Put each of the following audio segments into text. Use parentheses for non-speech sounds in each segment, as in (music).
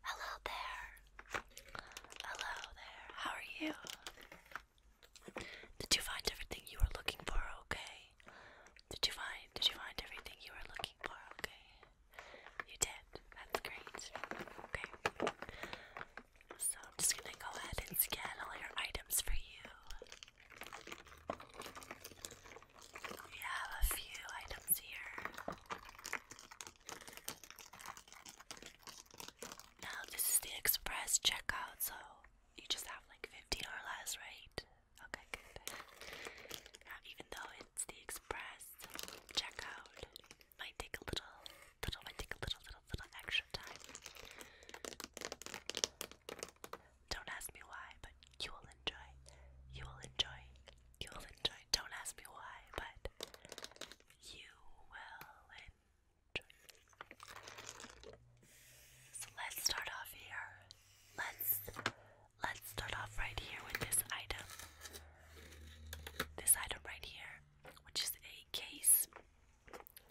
Hello there. Hello there. How are you? Did you find everything you were looking for? Okay. Did you find did you find everything you were looking for? Okay. You did. That's great. Okay. So I'm just gonna go ahead and scan all your items for you. We have a few items here. Now this is the express checkout, so you just have like 15 or right? Okay, good. even though it's the express checkout, might take a little, little, might take a little, little, little extra time. Don't ask me why, but you will enjoy. You will enjoy. You will enjoy. Don't ask me why, but you will So let's start off here. Let's let's start off right here with this item. This item right here, which is a case,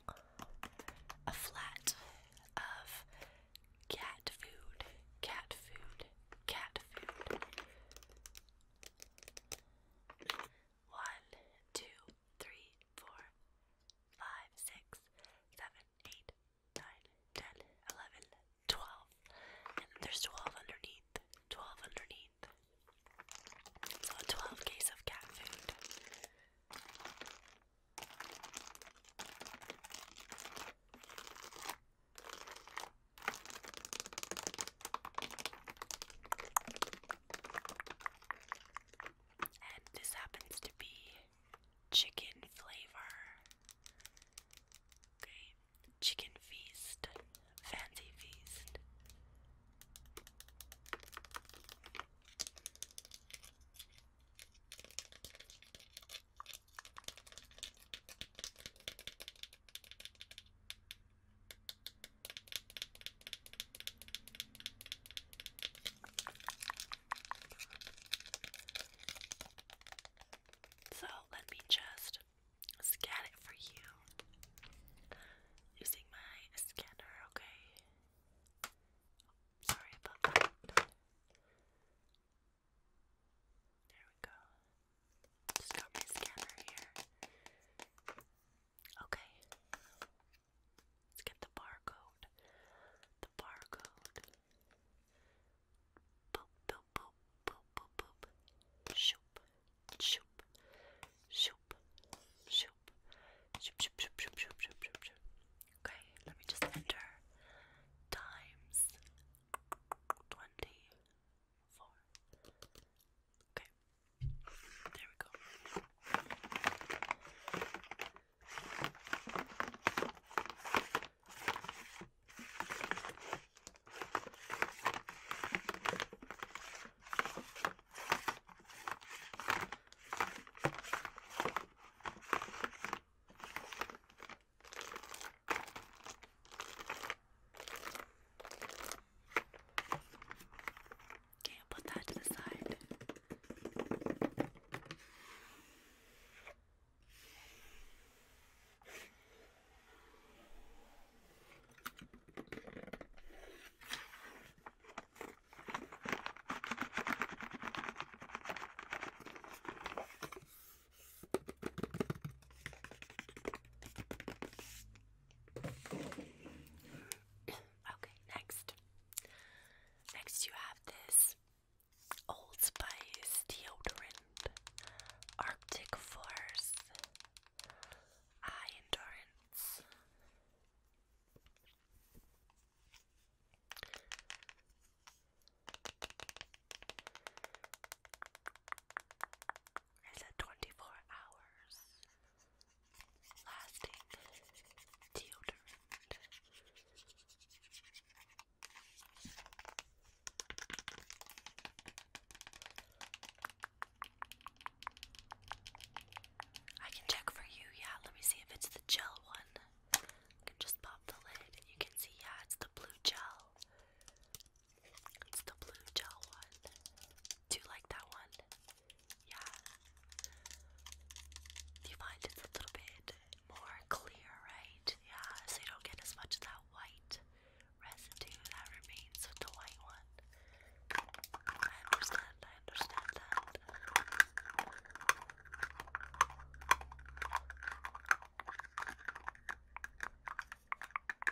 a flat of cat food, cat food, cat food, one, two, three, four, five, six, seven, eight, nine, ten, eleven, twelve. there's twelve underneath. Twelve underneath. So twelve case of cat food. And this happens to be chicken flavor. Okay, chicken feast, fancy feast. So let me just scan it for you using my scanner, okay? Sorry about that. There we go. Just my scanner here. Okay. Let's get the barcode. The barcode. Boop, boop, boop, boop, boop, boop. shoop, shoop, shoop, shoop, shoop, shoop, shoop, shoop. Okay, let me just enter times 20 four. Okay, there we go. Okay, I'll put that to the side. (coughs) okay, next. Next, you have this Old Spice deodorant, Arctic Force, Eye Endurance. It's a 24 hours lasting deodorant. I can check for you, yeah. Let me see if it's the gel one. just pop the lid you can see, yeah, it's the blue gel. It's the blue gel one. Do you like that one? Yeah. You find it's a little bit more clear, right? Yeah, so you don't get as much of that white residue that remains with the white one. I understand, I understand that.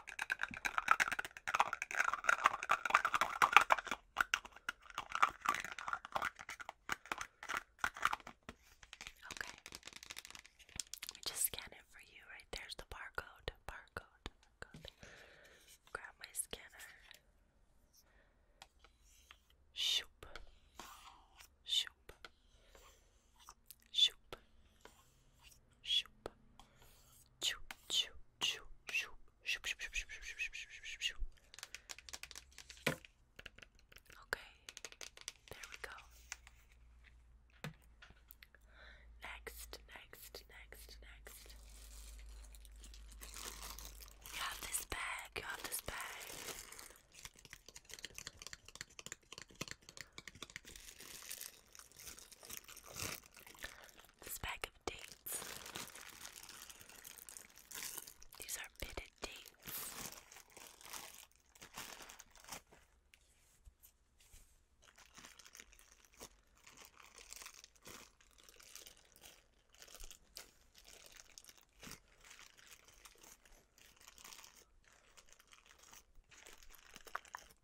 Okay. Let just scan it for you. Right there's the barcode. Barcode. barcode. Grab my scanner. Shoop. Shoop. Shoop shoop, shoop, shoop, shoop, shoop, shoop, shoop, shoop, shoop, shoop, shoop, shoop, shoop, shoop. Okay, there we go. Next, next, next, next. You have this bag, you have this bag. This bag of dates. These are pitted dates.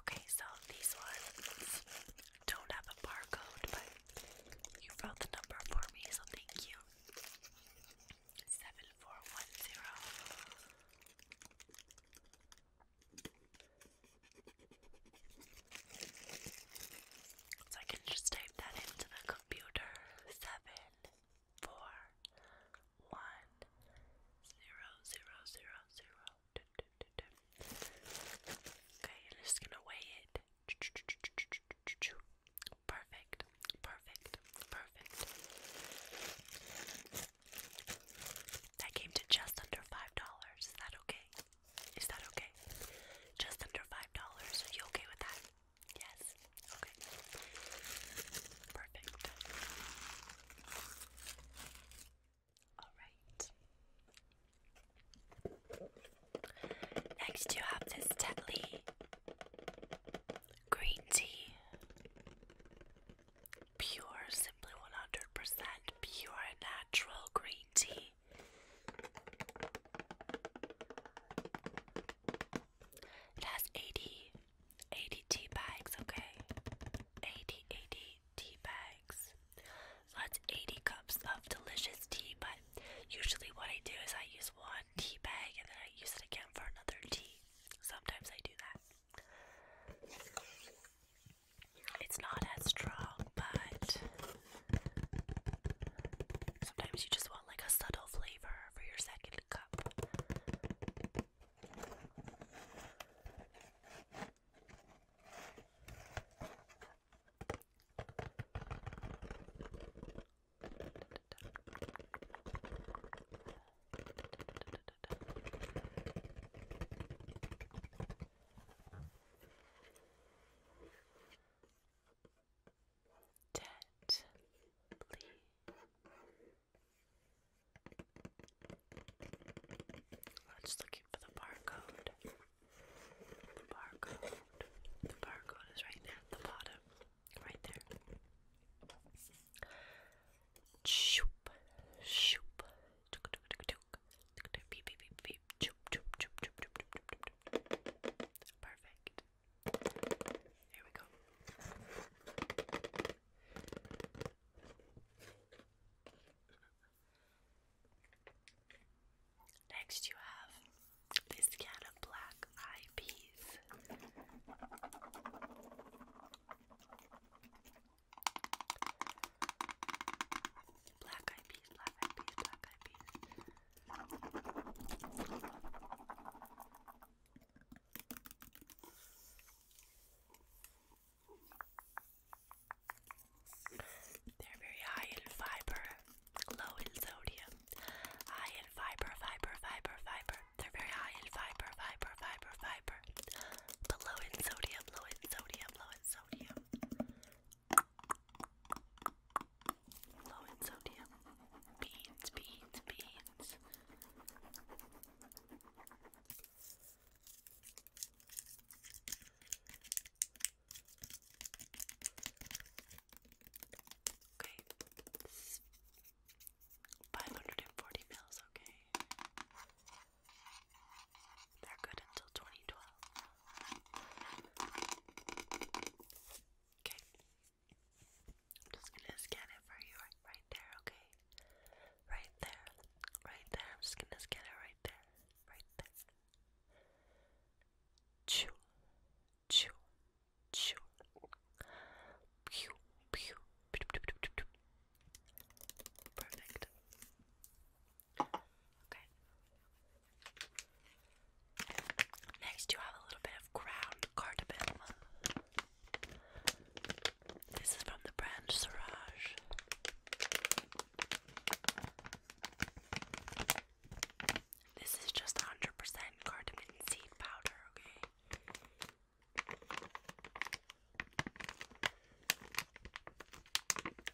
Okay, so these ones don't have a barcode, but you wrote the number for me, so thank you. 7410 so I can just type that into the computer. Seven, four, one, zero, zero, zero, zero. Okay, I'm just gonna weigh it. Perfect, perfect, perfect. That came to just under five dollars. Is that okay? Is that okay? Just under five dollars. Are you okay with that? Yes. Okay. Perfect. All right. Next, you have this Tetley green tea. Pure, simply 100% pure natural green tea. It has 80, tea bags, okay? 80, tea bags. that's 80 cups of delicious tea, but usually what I do is I use one tea bag and then I use it again for another tea. Sometimes I do that. It's not as strong, but sometimes you just want like a subtle flavor for your second cup. Gently. I'm just looking for the barcode. The barcode. The barcode is right at the bottom. Right there. Shoop. Shoop. Perfect. Here we go. Next, you have this can of black eye peas. Black eyed peas, black eyed peas, black eyed peas. They're very high in fiber, low in sodium. High in fiber, fiber, fiber, fiber. They're very high in fiber, fiber, fiber, fiber. But low in sodium, low in sodium, low in sodium. Low in sodium. Beans, beans, beans. Okay. 540 mils, okay. They're good until 2012. Okay. I'm just gonna scan it for you right, right there, okay? Right there. Right there. I'm just gonna scan it right there. Right there. Chew. Chew. Chew. Pew. Pew. Perfect. Next, you have a little bit of ground cardamom. This is from the brand Siraj. This is just 100% cardamom seed powder, okay?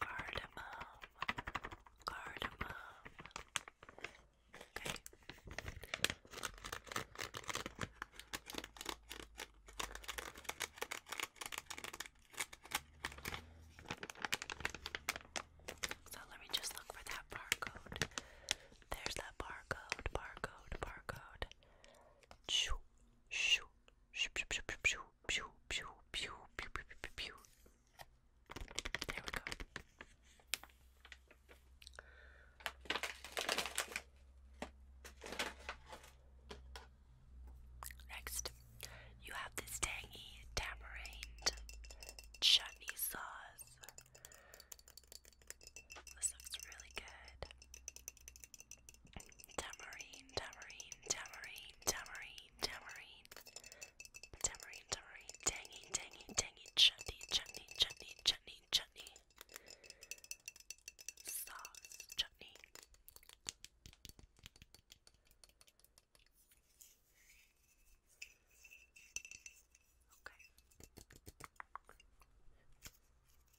Cardamom. Cardamom. Okay. So let me just look for that barcode. There's that barcode, barcode, barcode. Shoo, shoo, there we go. Next, you have this tangy tamarind chutney sauce. This looks really good. Tamarine, tamarine, tamarine, tamarine, tamarine. Tamarine, tamarine, tangy, tangy, tangy, chutney, chutney, chutney, chutney, chutney. Sauce, chutney. Okay.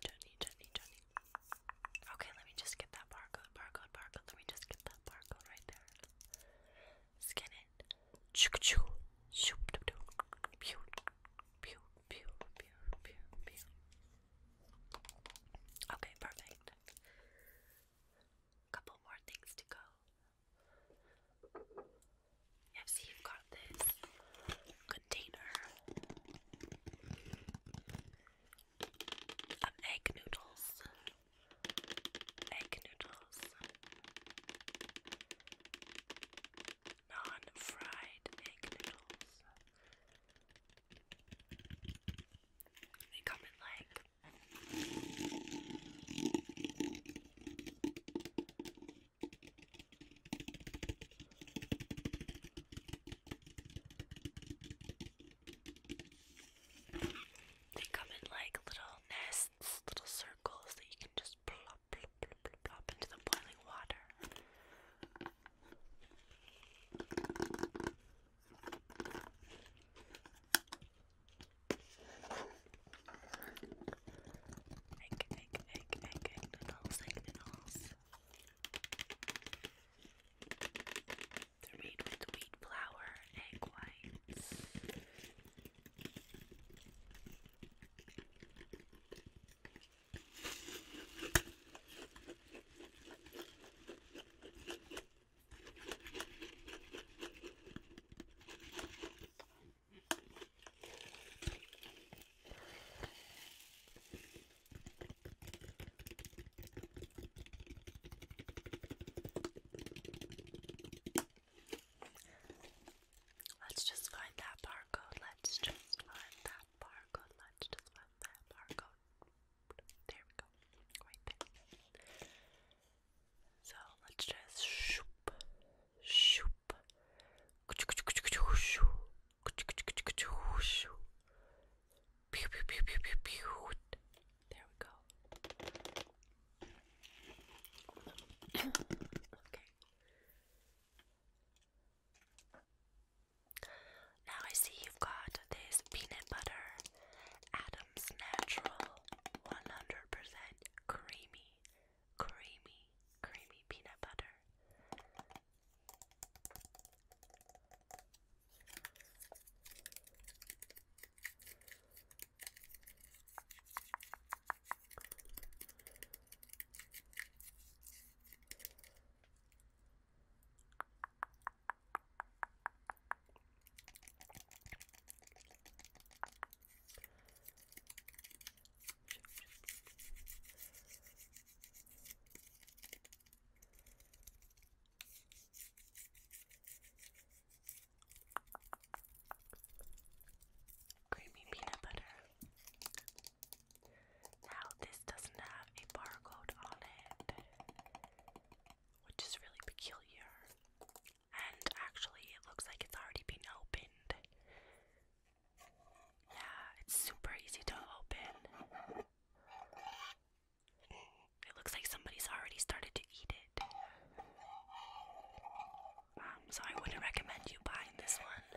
Johnny, Johnny, Johnny. Okay, let me just get that barcode, barcode, barcode. Let me just get that barcode right there. Scan it. Choo choo. Shoop doo doo. Pew. Pew. Pew. Pew. Pew. Pew. Okay, perfect. Couple more things to go. Yeah, see, you've got this container of egg noodles. Egg noodles. Non fried egg noodles. They come in like they come in like little nests, little circles that you can just plop, plop, plop, plop, plop into the boiling water. Egg, egg, egg, egg, egg noodles, egg noodles. They're made with wheat flour, egg whites. Let's just find that barcode. Let's just find that barcode. Let's just find that barcode. There we go. Right there. So let's just shoop. Shoop. Pew, pew, pew, pew, pew, pew. There we go. okay. Now I see you've got this peanut butter Adams Natural 100% creamy creamy, creamy peanut butter. Creamy peanut butter. Now, this doesn't have a barcode on it, which is really peculiar. And actually, it looks like it's already been opened. Yeah, it's super easy to open. It looks like somebody's already started to eat it. Um, so I wouldn't recommend you buying this one.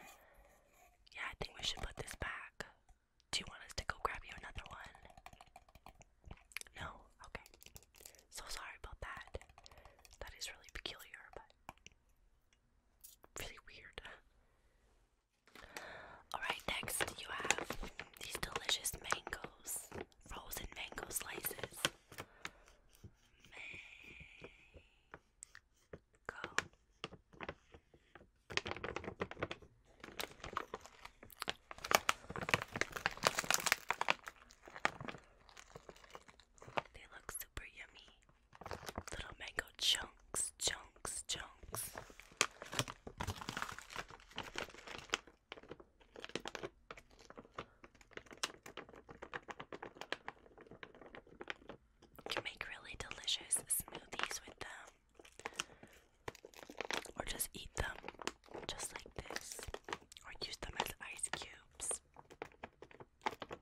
Yeah, I think we should put this back. Do you want us to go grab you another one? No? Okay. So sorry about that. That is really peculiar, but really weird. Alright, next you have these delicious mangoes, frozen mango slices. Mango. They look super yummy little mango chunks, chunks, chunks. You can make really delicious smoothies with them, or just eat them just like this, or use them as ice cubes. We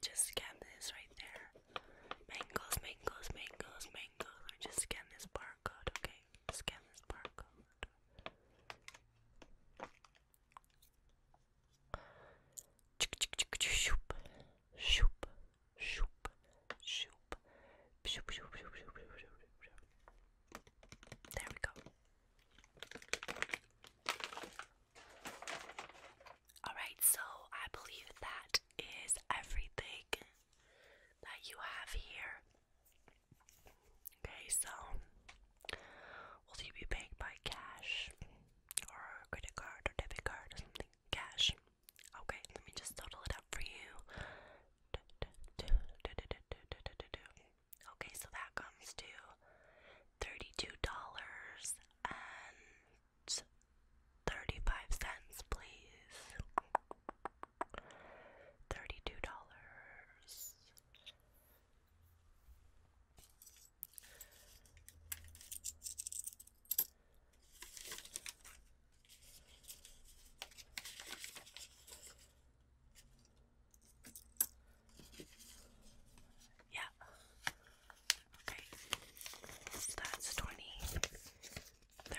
just scanned this right there. Mangoes, mangoes, mangoes, mangoes. We just scan this barcode, okay? Scan this barcode chick, chick, choop, shoop, shoop, shoop, shoop, shoop, shoop, shoop, shoop, shoop. There we go. Alright, so I believe that is everything that you have here. Okay, so Will you be paying by cash or credit card or debit card or something? Cash. Okay, let me just total it up for you. Okay, so that comes to thirty-two dollars and thirty-five cents, please. Thirty-two dollars. Yeah. Okay. So that's 20, 30.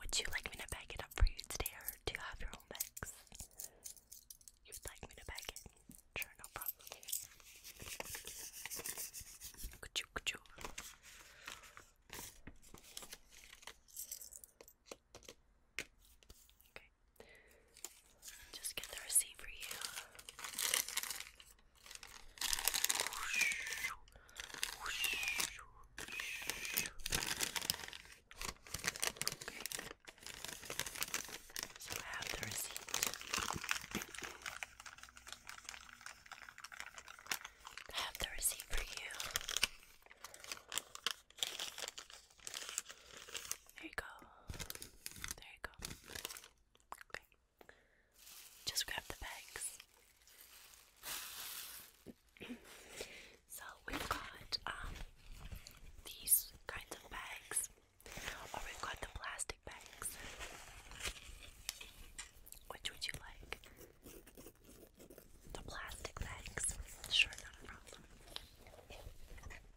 Would you like me to bag it up for you today, or do you have your own bags? You'd like me to bag it? Sure, no problem. Ka-choo, ka-choo. Okay. Just get the receipt for you. Okay. So I have the receipt. I have the receipt for you. There you go. There you go. Okay. Just grab the bags. (clears throat) so we've got um these kinds of bags. Or we've got the plastic bags. Which would you like? The plastic bags. Sure, not problem.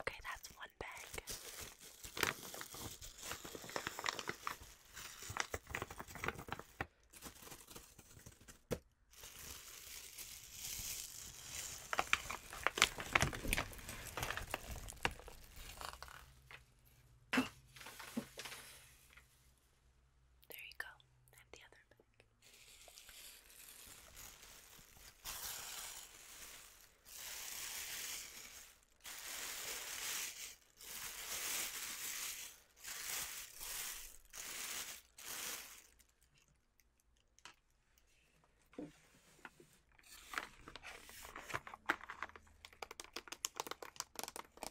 Okay, that's one bag. There you go. I the other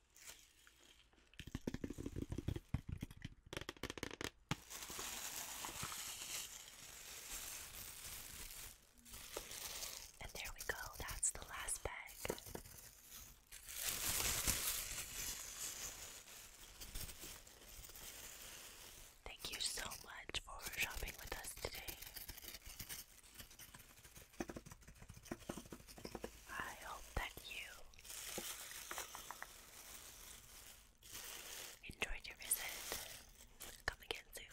And there we go, that's the last bag. Thank you so much for shopping with us today. I hope that you enjoyed your visit. Come again soon.